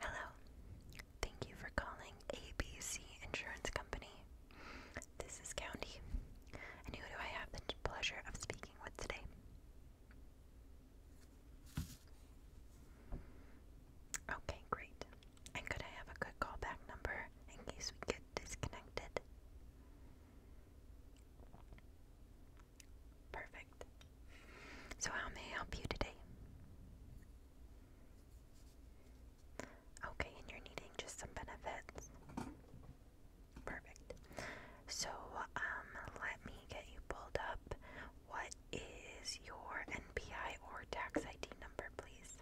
Hello. Thank you for calling ABC Insurance Company. This is County. And who do I have the pleasure of speaking with today? Okay, great. And could I have a good callback number in case we get disconnected? Perfect. So, how may I help you today? Okay, and you're needing just some benefits. Perfect. So, um, let me get you pulled up. What is your NPI or tax ID number, please?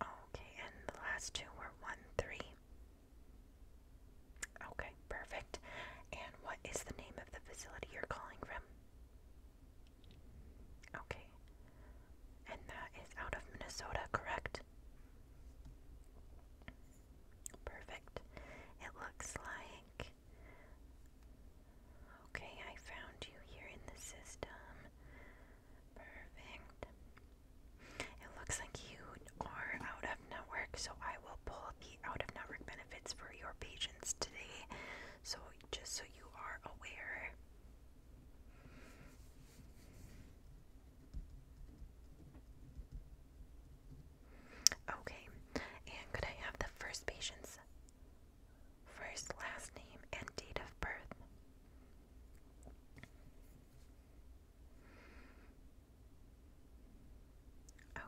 Okay, and the last two were one, three. Okay, perfect. And what is the name of the facility you're calling from? Okay. And that is out of Minnesota, correct? Perfect. It looks like. Okay, I found you here in the system. Perfect. It looks like you are out of network, so I will pull the out of network benefits for your patients today. So, just so you are aware. Okay, and could I have the first patient's first, last name, and date of birth?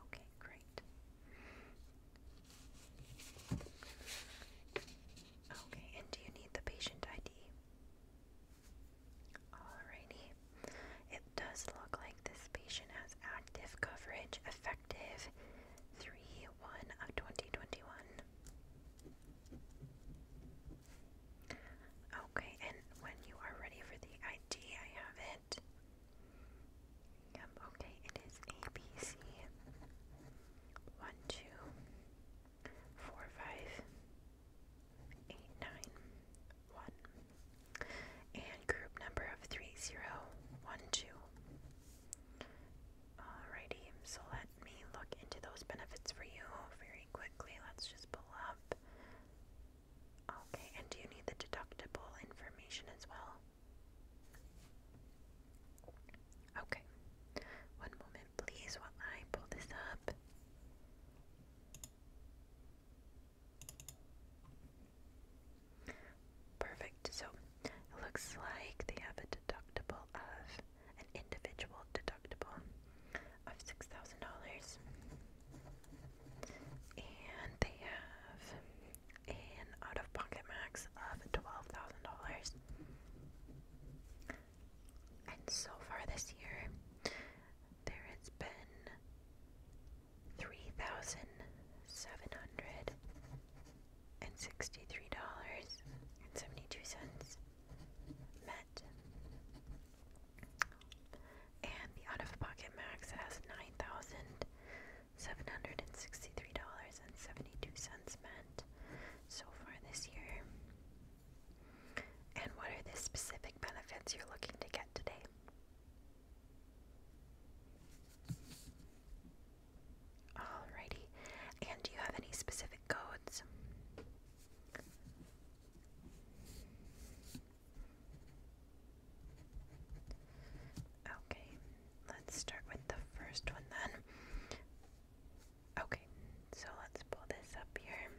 Okay, great. Okay, and do you need the patient ID? Alrighty. It does look like this patient has active coverage effective 3 1 of 2021. Okay, and when you are ready for the ID, I have it. Yep, okay, it is ABC one two four five eight nine one and group number of three zero one two. Alrighty, so let me look into those benefits for you for quickly. Let's just pull up. Okay, and do you need the deductible information as well? Okay, one moment please while I pull this up. Perfect, so it looks like they have a deductible of an individual deductible of $6,000. And they have an out of pocket max of $12,000. And so far this year, there has been three thousand seven hundred and sixty-three dollars and seventy-two cents met and the out of pocket max has $9,763.72 spent so far this year. And what are the specific benefits you're looking to get today? Alrighty. And do you have any specific codes? Okay, let's start with the first one then. Okay, so let's pull this up here.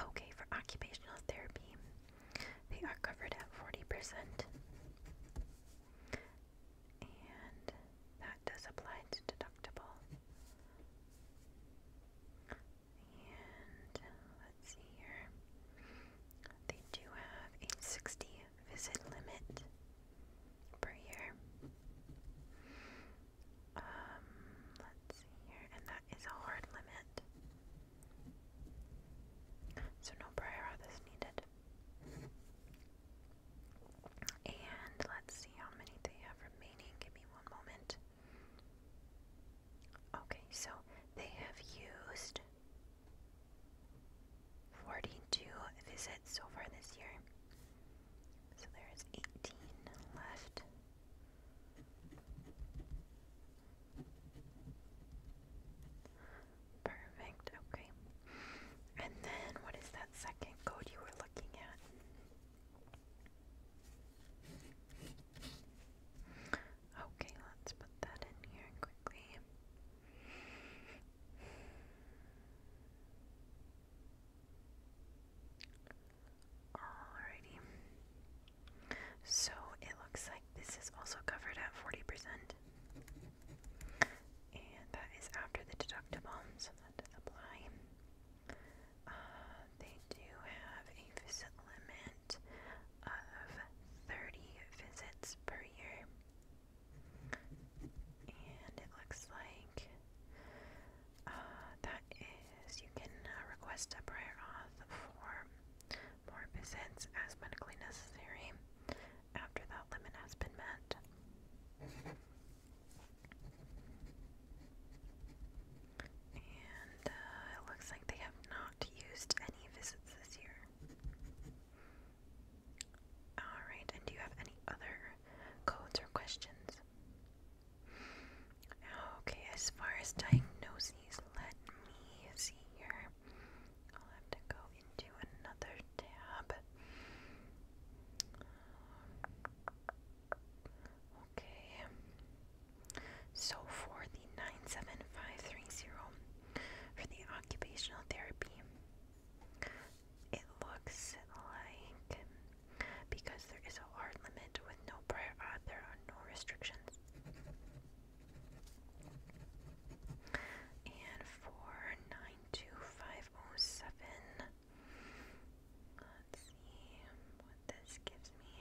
Okay, for occupational therapy, they are covered at 40%. And that does apply to deductible. And let's see here. They do have a 60 visit limit per year. Um, let's see here. And that is a hard limit. So no prior auth is needed. And let's see how many they have remaining. Give me one moment. Okay, so they have used 42 visits so far this year. So there is 18 left. Perfect, okay. And then what is that second code you were looking at? Okay, let's put that in here quickly. Alrighty. So it looks like this is also covered at 40%. And that is after the deductible, that apply. Uh, they do have a visit limit of 30 visits per year. And it looks like uh, that is, you can uh, request a prior auth for more visits as medically necessary after that limit has been met. And uh, it looks like they have not used any visits this year. Alright, and do you have any other codes or questions? Okay, as far as diagnoses, let me see here. I'll have to go into another tab. Okay. So for the 97530 for the occupational therapy, it looks like because there is a hard limit with no prior auth, there are no restrictions. And for five oh seven. Let's see what this gives me.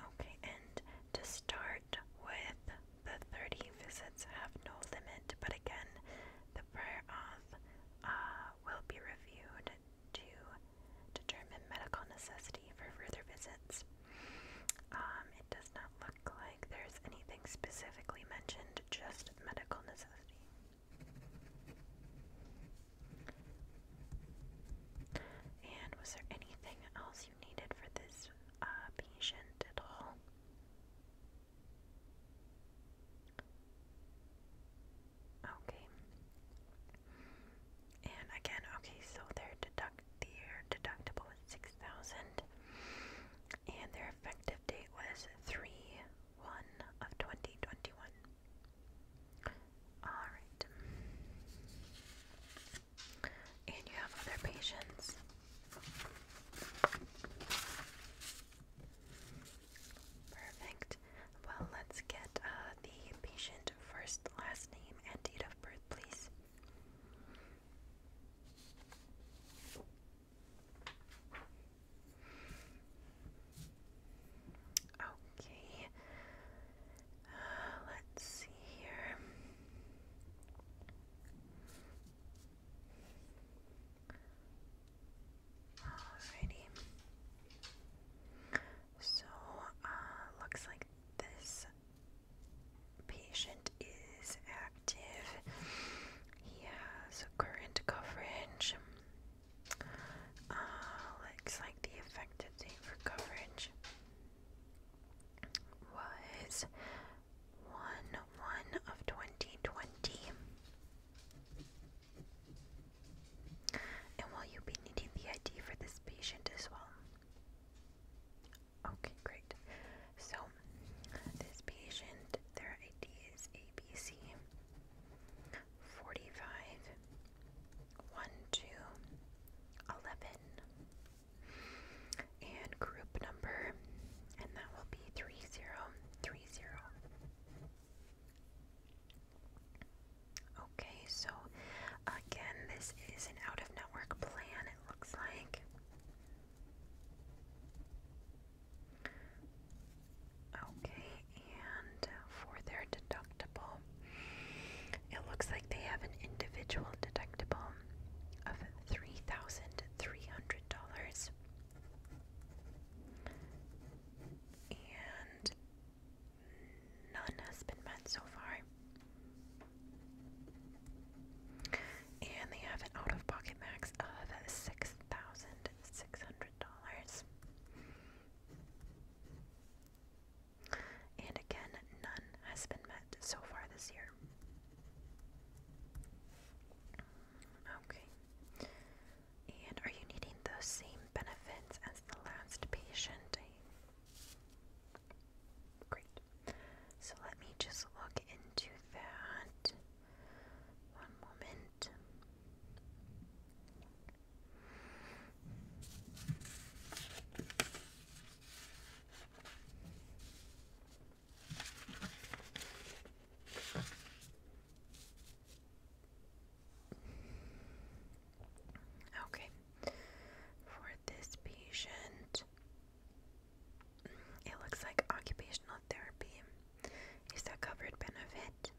Okay, and to start with, the 30 visits have no limit, but again, the prior auth will be reviewed to determine medical necessity for further visits. Um, it does not look like there's anything specifically mentioned, just medical necessity. And was there anything else you needed for this uh, patient at all? Okay. And again, okay, so their deduct their deductible was six thousand, and their effective date was three one of twenty twenty one. All right, and you have other patients. Perfect. Well, let's get uh, the patient first, last name, and date of birth, please. Okay. Uh, let's see here. Alrighty. So, uh, looks like this patient is active. He has current coverage. Uh, looks like the effective date for coverage was 1 1 of 2020. And will you be needing the ID for this patient as well? Okay, great. So, this patient, their ID is ABC 45 and group number, and that will be 3030. Okay, so again, this is an out of network plan, it looks like. Okay, and for their deductible, it looks like they have an individual deductible of $3,300. And none has been met so far. And they have an out of pocket max of $6,600. And again, none has been met so far this year. Okay. And are you needing those same benefits as the last patient? Great. So let me just look into that. One moment. Okay this patient, it looks like occupational therapy is a covered benefit,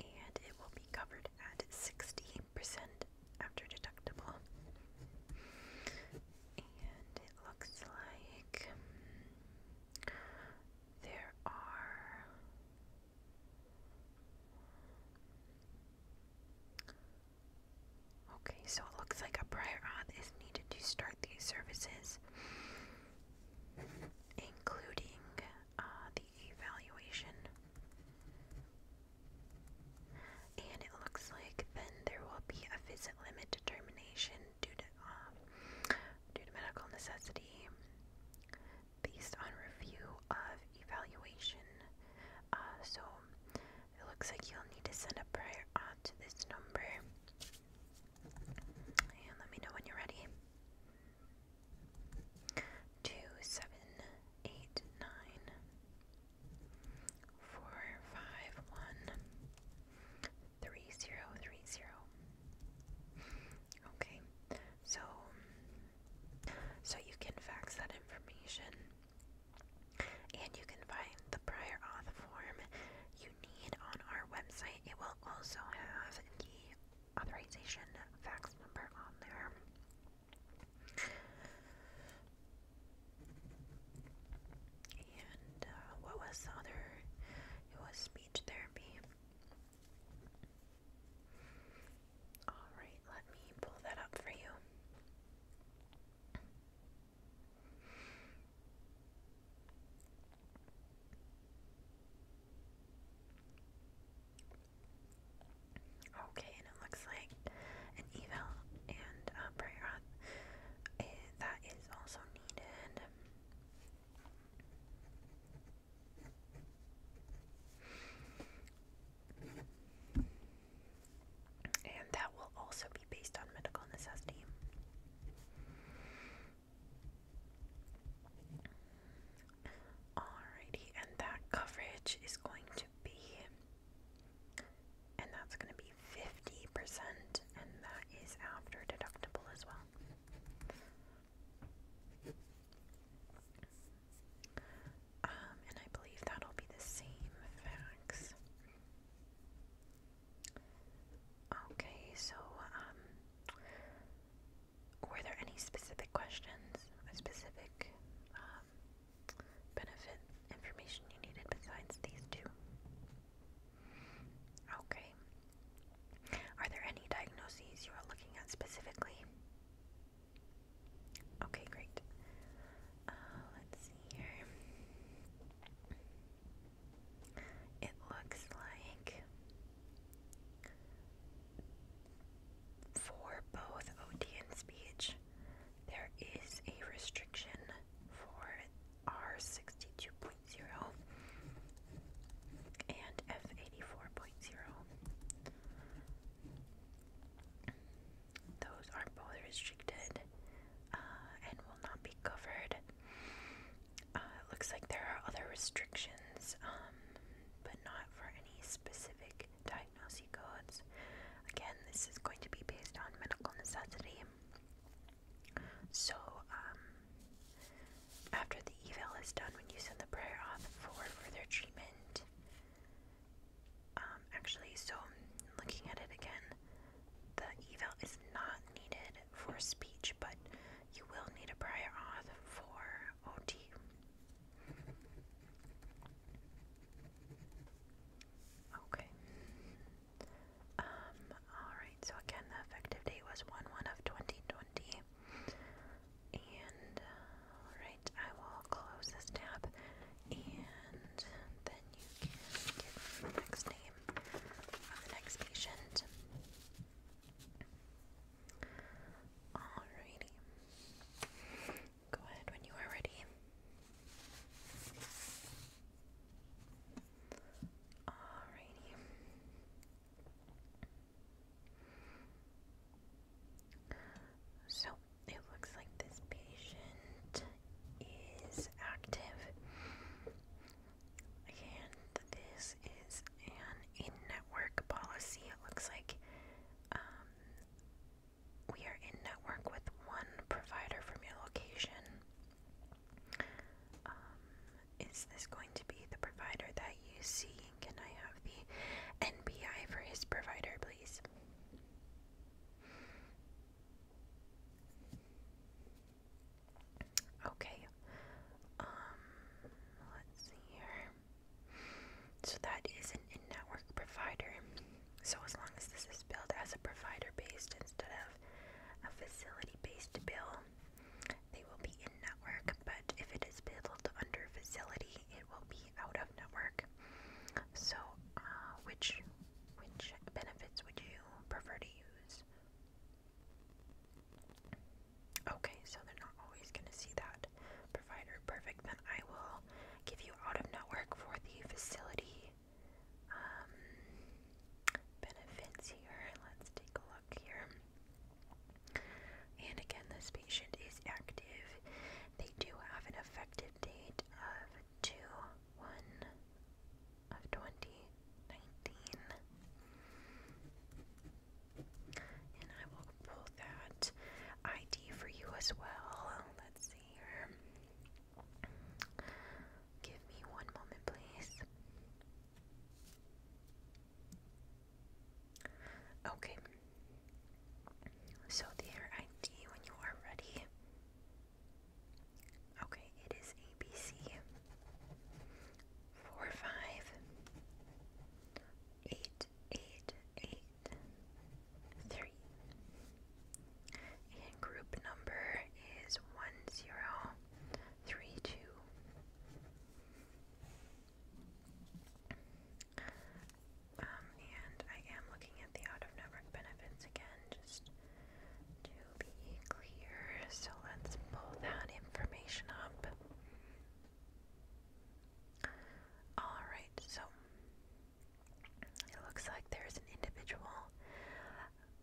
and it will be covered at 60% after deductible. And it looks like there are Okay, so it looks like a prior auth is needed to start these services, including uh, the evaluation. And it looks like then there will be a visit limit determination due to um, due to medical necessity based on review of evaluation. Uh, so it looks like you'll need to send a prior auth to this number. And let me know when you're ready. Two seven eight nine four five one three zero three zero. Okay. So, so you can fax that information, and you can find the prior auth form you need on our website. It will also have the authorization fax number on there. And uh, what was the other? It was speech therapy. Alright, let me pull that up for you. Okay, and it looks like an eval and a prayer uh, that is also needed. And that will also be based on medical necessity. Alrighty, and that coverage is going to be, and that's going to be 50%, and that is after deductible as well. Um, and I believe that'll be the same facts. Okay, so, um, were there any specific questions, specific um, benefit information you needed besides these two? Okay. Are there any diagnoses you are looking at specifically? Okay, great. Uh, let's see here. It looks like for both OT and speech, there is a restriction for R62.0 and F84.0. Those are both restricted uh, and will not be covered. Uh, looks like there are other restrictions, um, but not for any specific diagnosis codes. Again, this is going to be based on medical necessity. So, um, after the eval is done, when you send the prayer off for further treatment, um, actually, so looking at it again, the eval is not needed for speech, but you will need a prior auth for OT. Okay. Um, alright, so again, the effective date was 1 1 of 2020. And uh, I will close this tab and then you can get the next name of the next patient. Alrighty. Go ahead when you are ready. Alrighty. So it looks like this patient is active, and this is an in-network policy. It looks like um, we are in network with one provider from your location. Um, is this going to be the provider that you see can I have the NPI for his provider, please? Okay. Um, let's see here. So that is an in-network provider. So as long as this is billed as a provider-based instead of a facility-based bill, they will be network, but if it is billed under facility, it will be out of network. So, uh, which which benefits would you prefer to use? Okay, so they're not always going to see that provider. Perfect. Then I will give you out of network for the facility um, benefits here. Let's take a look here. And again, this patient is active. They do have an effective date of 2 1 of 2019. And I will pull that ID for you as well. Let's see here. Give me one moment, please. Okay. So air ID when you are ready. Okay, it is ABC four five eight eight eight three. And group number is one zero three two. Um, and I am looking at the out of network benefits again, just to be clear. So let's pull that information up. Alright, so it looks like there's an individual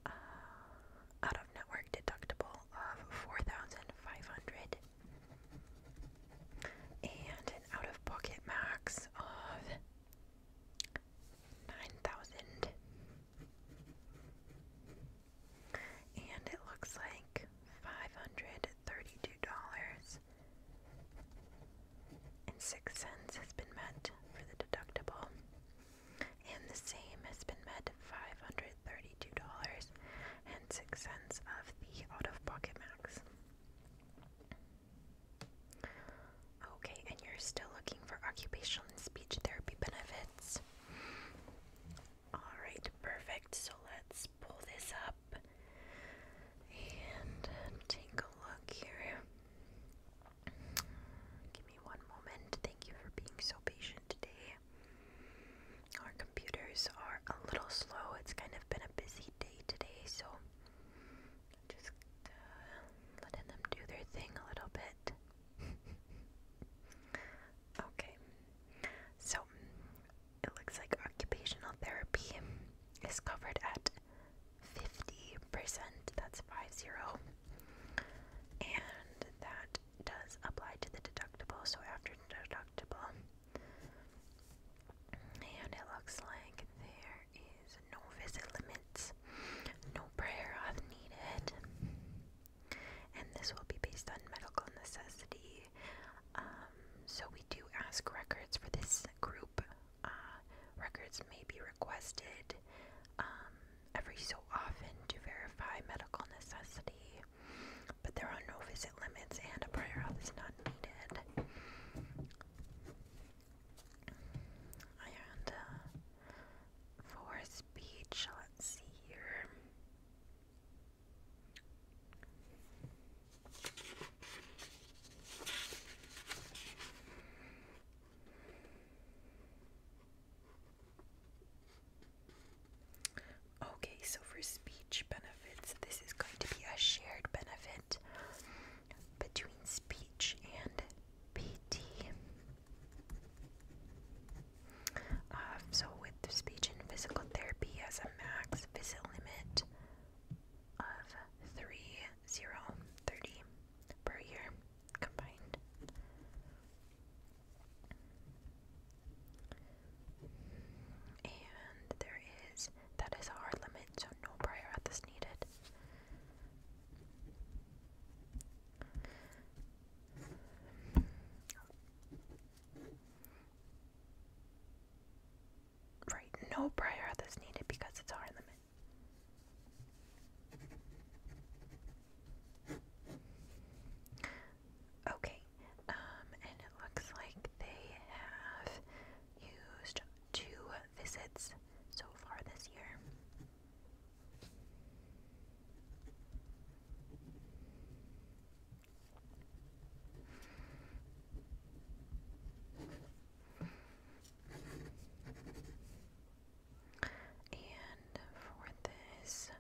uh, out of network deductible of $4,500 and an out of pocket max of 9,000. And it looks like $532.06 has been met for the deductible, and the same has been met $532.06. $32.06 of the out of pocket max. Okay, and you're still looking for occupational and speech therapy benefits. Alright, perfect. So let's pull this up and take a look here. Give me one moment. Thank you for being so patient today our computers are a little slow. It's kind of been a busy day today, so just uh, letting them do their thing a little bit. okay, so it looks like occupational therapy is covered at 50%, that's 50, and that does apply to the deductible. So, after deductible, and it looks like there is no visit limits, no prayer needed. And this will be based on medical necessity. Um, so we do ask records for this group. Uh, records may be requested um, every so often to verify medical necessity. But there are no visit limits and a prayer hall is not needed. And uh, for speech, let's see here. Okay, so for speech benefits, this is going to be a shared benefit between speech and PT. Uh, so, with speech and physical therapy as a max visit limit of 3030 per year combined. And there is, that is a hard limit, so no prior at this needed. Right, no prior at is needed because it's a hard limit. Okay, um, and it looks like they have used two visits so far this year. And for this,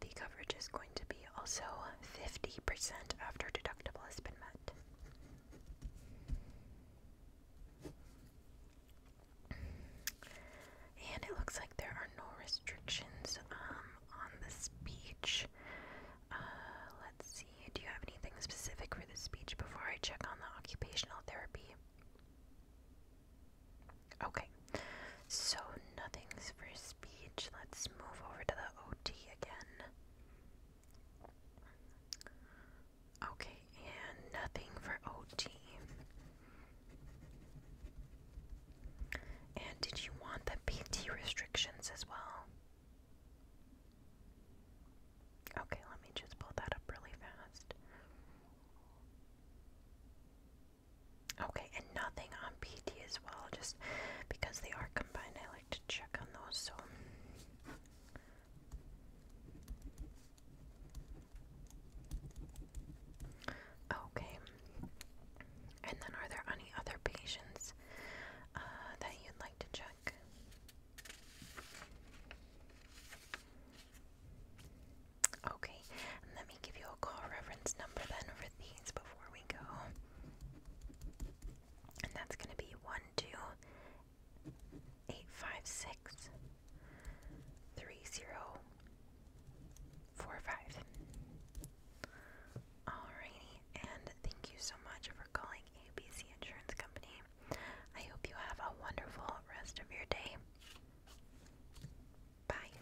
the coverage is going to be also 50% after deductible has been met. And it looks like there are no restrictions um, on the speech. Uh, let's see, do you have anything specific for the speech before I check on the occupational therapy? Okay. So nothing's for speech. Let's move over to the OT again. Okay, and nothing for OT. And did you want the PT restrictions as well? Okay, let me just pull that up really fast. Okay, and nothing on PT as well, just because they are combined, I like to check on those. So, okay, and then are there any other patients uh, that you'd like to check? Okay, let me give you a call reference number then for the before we go. And that's going to be 1, 2, 8, and thank you so much for calling ABC Insurance Company. I hope you have a wonderful rest of your day. Bye.